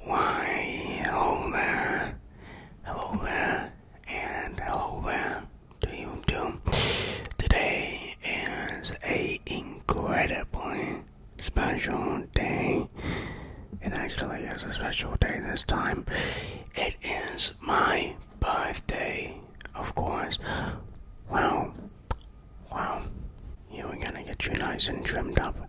Why, hello there, hello there, and hello there to you too. Today is a incredibly special day. It actually is a special day this time. It is my birthday, of course. Well, well, you we're gonna get you nice and trimmed up.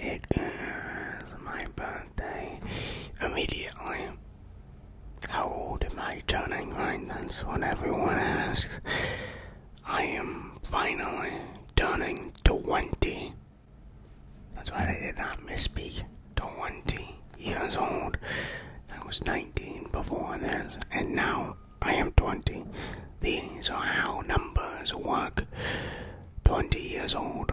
It is my birthday immediately. How old am I turning? Right, that's what everyone asks. I am finally turning 20. That's why they did not misspeak. 20 years old. I was 19 before this, and now I am 20. These are how numbers work. 20 years old.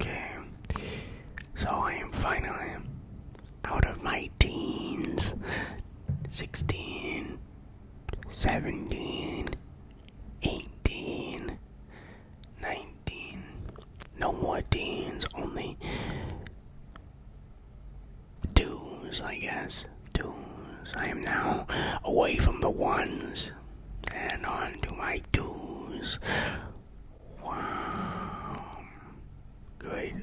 okay, so I am finally out of my teens 16, 17, 18, No more teens, only twos, I guess. Twos. I am now away from the ones and on to my twos. Wow. Good.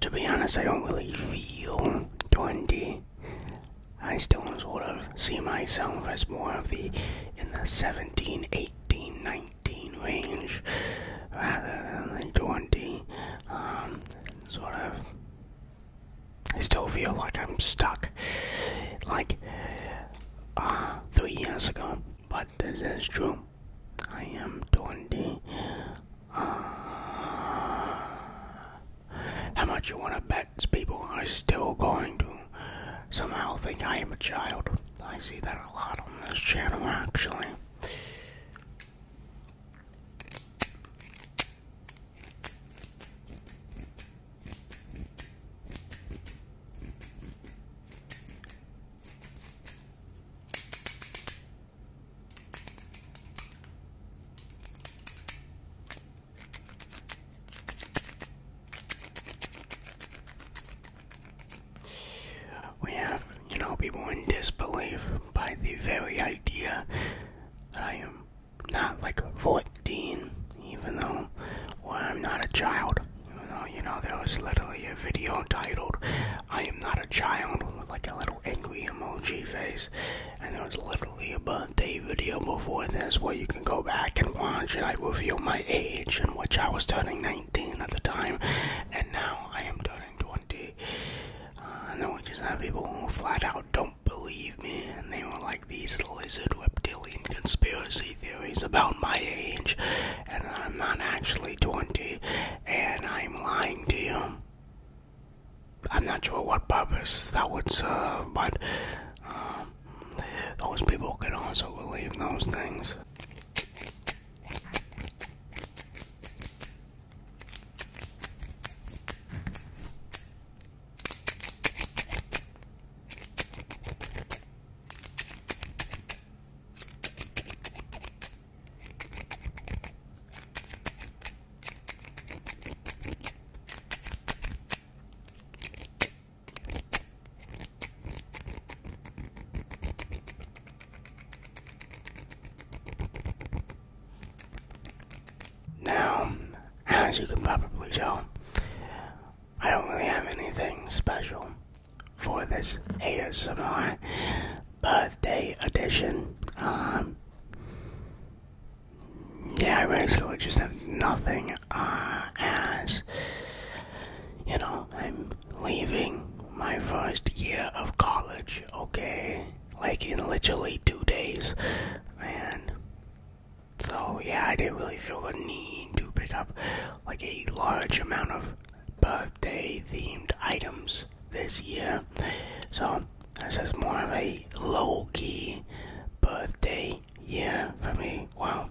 To be honest, I don't really feel 20. I still sort of see myself as more of the in the 17, 18, 19 range rather than the 20. Um, sort of. I still feel like I'm stuck like uh, three years ago, but this is true. I am 20. Uh, how much you want to bet people are still going to somehow think I am a child. I see that a lot on this channel actually. We have, you know, people in disbelief by the very idea that I am not like a 14, even though I'm not a child. Oh, you know, there was literally a video titled, I am not a child, with like a little angry emoji face. And there was literally a birthday video before this where you can go back and watch and I reveal my age, in which I was turning 19 at the time, and now I am turning 20. Uh, and then we just have people who flat out don't believe me, and they were like these lizard reptilian conspiracy theories about my age, and I'm not actually 20, and I'm lying to you. I'm not sure what purpose that would serve, but um, those people can also believe those things. Now, as you can probably tell, I don't really have anything special for this ASMR birthday edition. Um, yeah, I basically just have nothing, uh, as, you know, I'm leaving my first year of college, okay? Like, in literally two days, and so, yeah, I didn't really feel the need to pick up, like, a large amount of birthday themed items this year. So this is more of a low key birthday year for me. Wow.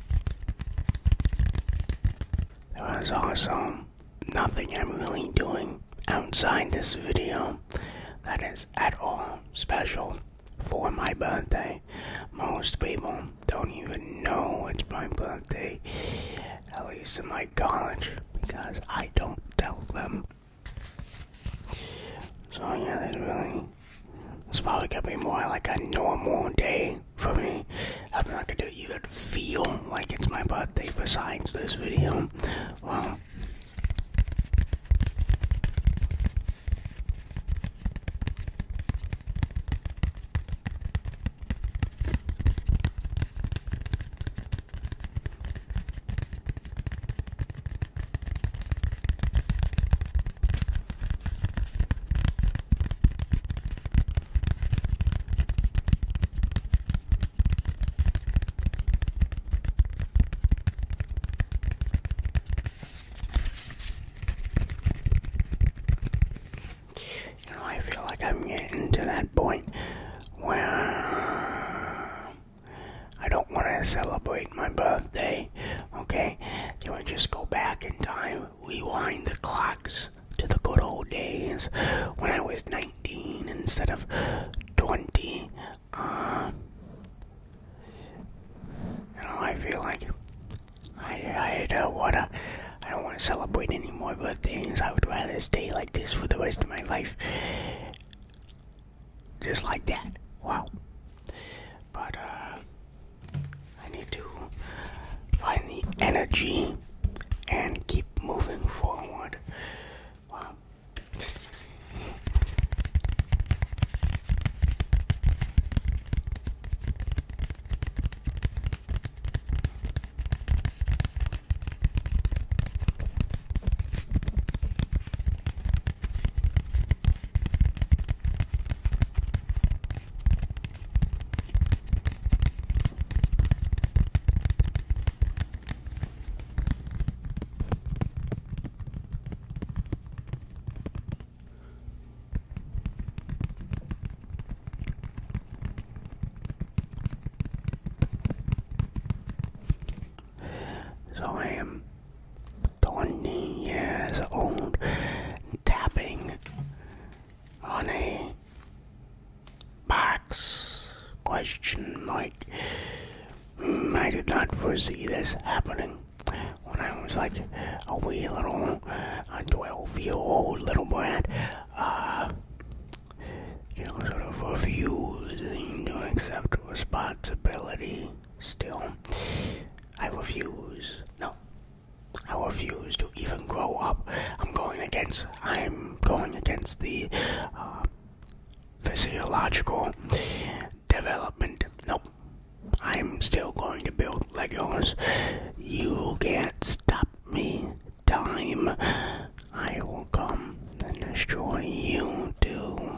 That was awesome. Nothing I'm really doing outside this video that is at all special for my birthday. Most people don't even know it's my birthday, at least in my college, because I don't tell them. So, yeah, there's really it's probably gonna be more like a normal day for me. I'm not gonna do. even feel like it's my birthday besides this video. Well, you know, I feel like I'm getting to that point where I don't want to celebrate my birthday. Okay, do I just go back in time rewind the clocks to the good old days when I was 19 instead of 20. Uh, I feel like I, I uh, what I don't want to celebrate any more birthdays. I would rather stay like this for the rest of my life, just like that. Wow. But uh, I need to find the energy and keep moving forward. So I am 20 years old tapping on a box question like mm, I did not foresee this happening when I was like a wee little a 12 year old little brat uh you know sort of refusing to accept responsibility still I refuse no I refuse to even grow up. I'm going against. I'm going against the uh, physiological development. Nope. I'm still going to build Legos. You can't stop me. Time. I will come and destroy you too.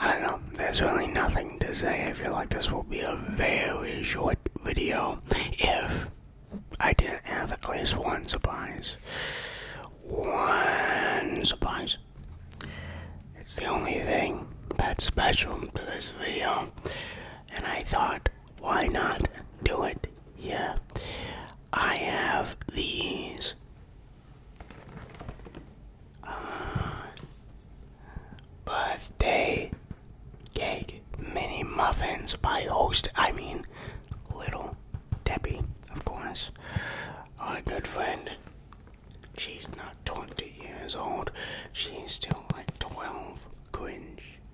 I don't know, there's really nothing to say. I feel like this will be a very short video if I didn't have at least one surprise. One surprise. It's the only thing that's special to this video, and I thought, why not do it yeah. I have these. Uh, birthday cake mini muffins by host, I mean Little Debbie, of course. Our good friend. She's not 20 years old. She's still like 12. Cringe.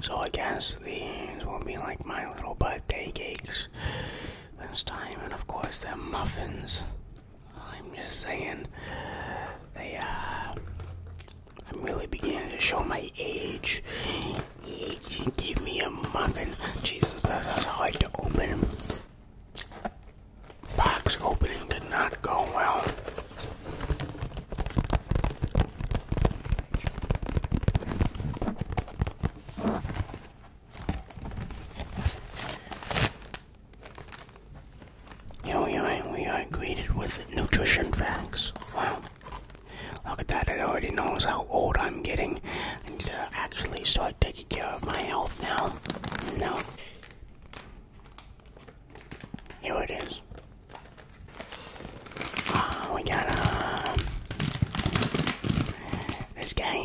So I guess these will be like my little birthday cakes this time, and of course they're muffins. I'm just saying, they uh, I'm really beginning to show my age. Give me a muffin, Jesus, that's, that's hard to open. Box opening did not go well. Here we we are greeted with nutrition facts. Wow. Look at that, it already knows how old I'm getting. I need to uh, actually start taking care of my health now. No. Here it is. Ah, we got uh, this guy.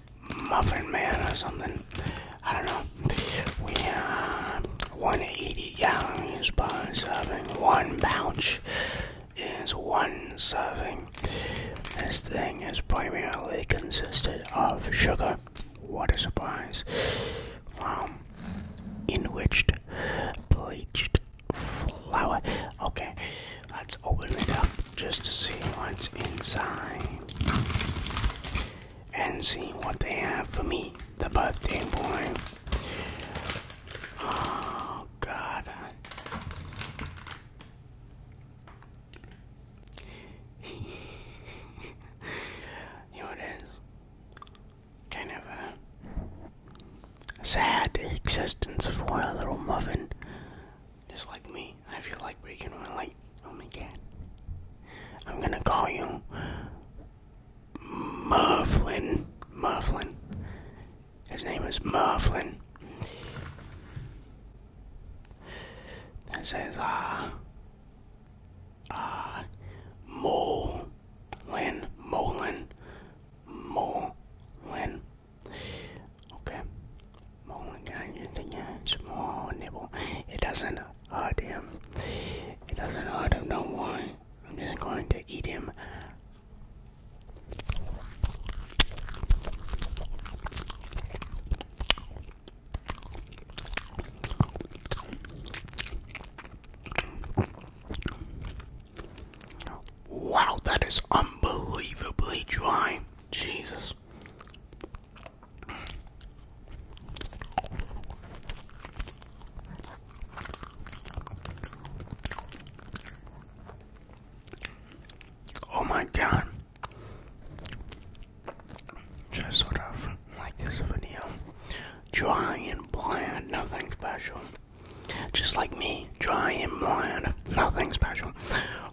Muffin Man or something. I don't know. We uh, 180 is one serving. One pouch is one serving. This thing is primarily consisted of sugar. What a surprise. Wow. Um, enriched, bleached flour. Okay, let's open it up just to see what's inside and see what they have for me, the birthday boy. Oh, God. Here it is. Kind of a sad existence for a little muffin. Just like me, I feel like breaking my light. Oh my god. I'm gonna call you Mufflin. Mufflin. His name is Mufflin. That says, uh, uh, Molin, Molin, Molin. Okay, small nibble. It doesn't hurt him. It doesn't hurt him, No not I'm just going to eat him. Wow, that is unbelievably dry. Jesus. Oh my god. Just sort of like this video. Dry and bland, nothing special. Just like me, dry and bland, nothing special.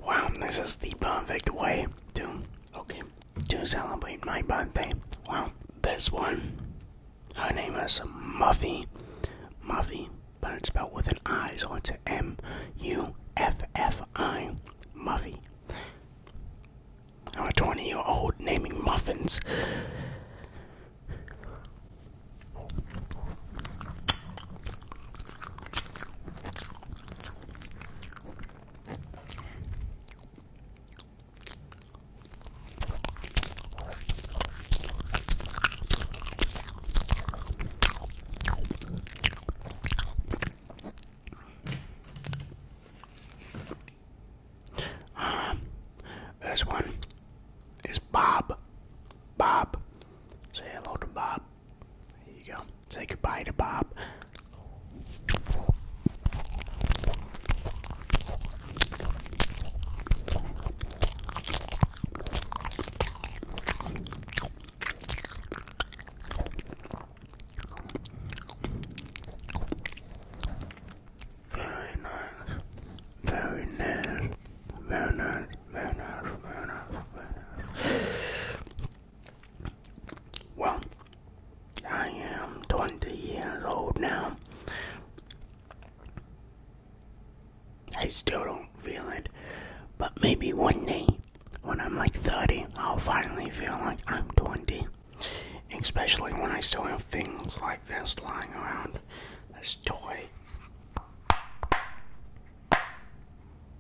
Wow, this is the perfect way to okay to celebrate my birthday. Well, this one, her name is Muffy. Muffy, but it's spelled with an I, so it's M U F F I. Muffy. I'm a 20 year old naming muffins this one is Bob. Bob. Say hello to Bob. There you go. Say goodbye to Bob. Very nice. Very nice. Very nice. Very nice. Very nice. Very nice. Well, I am 20 years old now. I still don't feel it, but maybe one day when I'm like 30, I'll finally feel like I'm 20. Especially when I still have things like this lying around. This toy.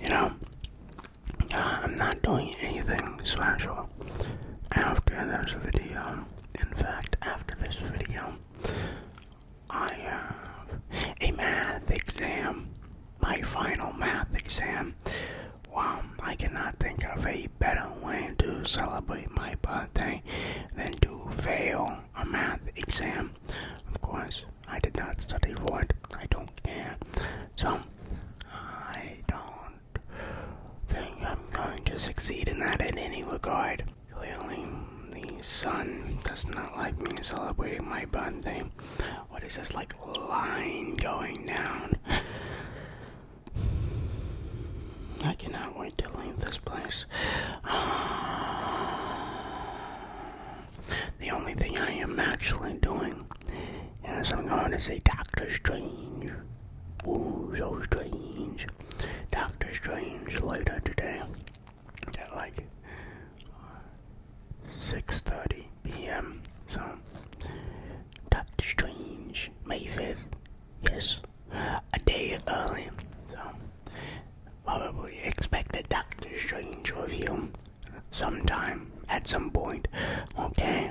You know, uh, I'm not doing anything special after this video. In fact, after this video, I have a math exam. My final math exam. Well, I cannot think of a better way to celebrate my birthday than to fail a math exam. Of course, I did not study for it. I don't care. So, I don't think I'm going to succeed in that in any regard. Clearly, the sun does not like me celebrating my birthday. What is this, like, line going down? I cannot wait to leave this place. Ah. The only thing I am actually doing is I'm going to see Doctor Strange. Ooh, so strange. Doctor Strange later today at like 6:30 p.m. So Doctor Strange, May 5th. Yes, a day early. So probably expect a Doctor Strange review sometime at some point, okay?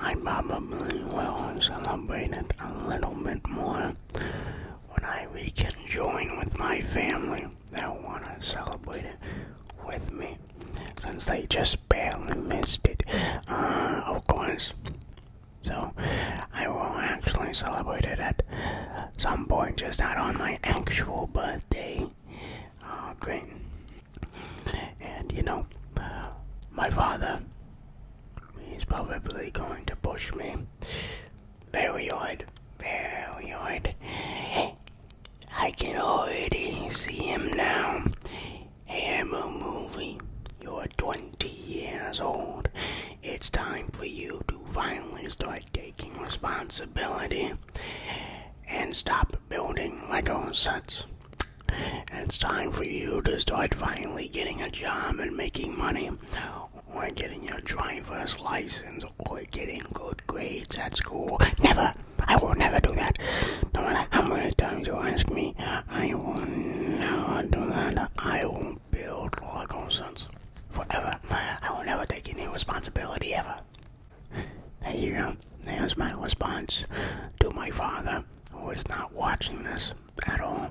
I probably will celebrate it a little bit more when I we join with my family that want to celebrate it with me since they just barely missed it. Uh, of course, so I will actually celebrate it at some point, just not on my actual birthday. Oh, And you know, my father, he's probably going to push me very hard, I can already see him now. a movie, you're 20 years old it's time for you to finally start taking responsibility and stop building Lego sets. It's time for you to start finally getting a job and making money, or getting your driver's license, or getting good grades at school. Never! I will never do that. No matter how many times you ask me, I will never do that. I will build Lego sets forever. I will never take any responsibility ever. There you go. There's my response to my father, who is not watching this at all.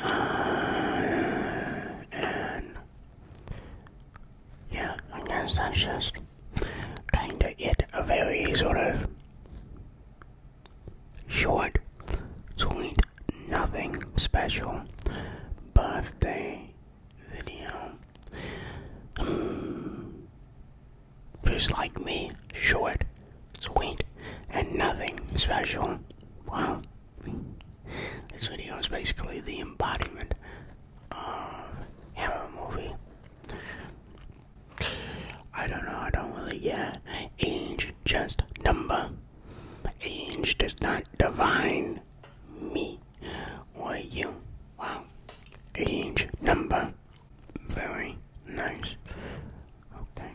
Uh, and yeah, I guess that's just kind of it. A very sort of short, sweet nothing special birthday video. Hmm. just like me, short, sweet, and nothing special. Wow. This video is basically the embodiment of Hammer movie. I don't know, I don't really get age, just number. Age does not define me or you. Wow, age number. Very nice. Okay.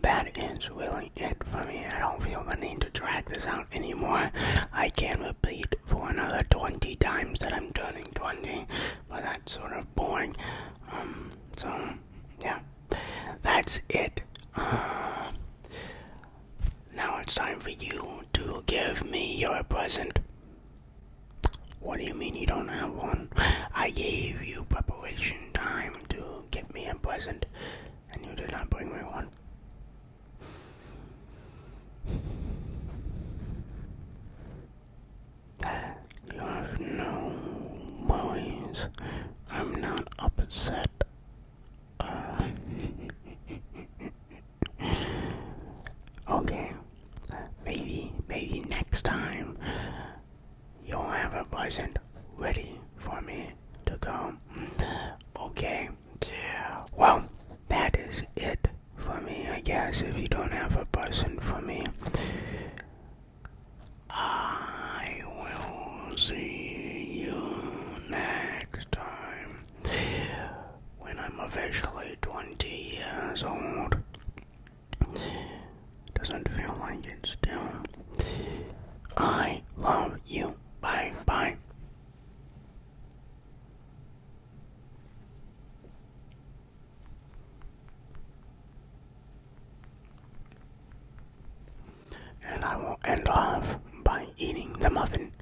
That is really good for me. I don't feel the need to drag this out anymore. I can repeat for another 20 times that I'm turning 20, but that's sort of boring. Um, so, yeah, that's it. Uh, now it's time for you to give me your present. What do you mean you don't have one? I gave you preparation time to get me a present, and you did not bring me one you have no worries. I'm not upset. Uh, okay, maybe, maybe next time you'll have a present ready for me to come. Okay. Well, that is it for me, I guess. If you don't have a person for me, I will see you next time when I'm officially 20 years old. Doesn't feel like it still. I love you. Bye bye. And I will end off by eating the muffin.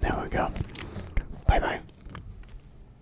There we go. Bye bye.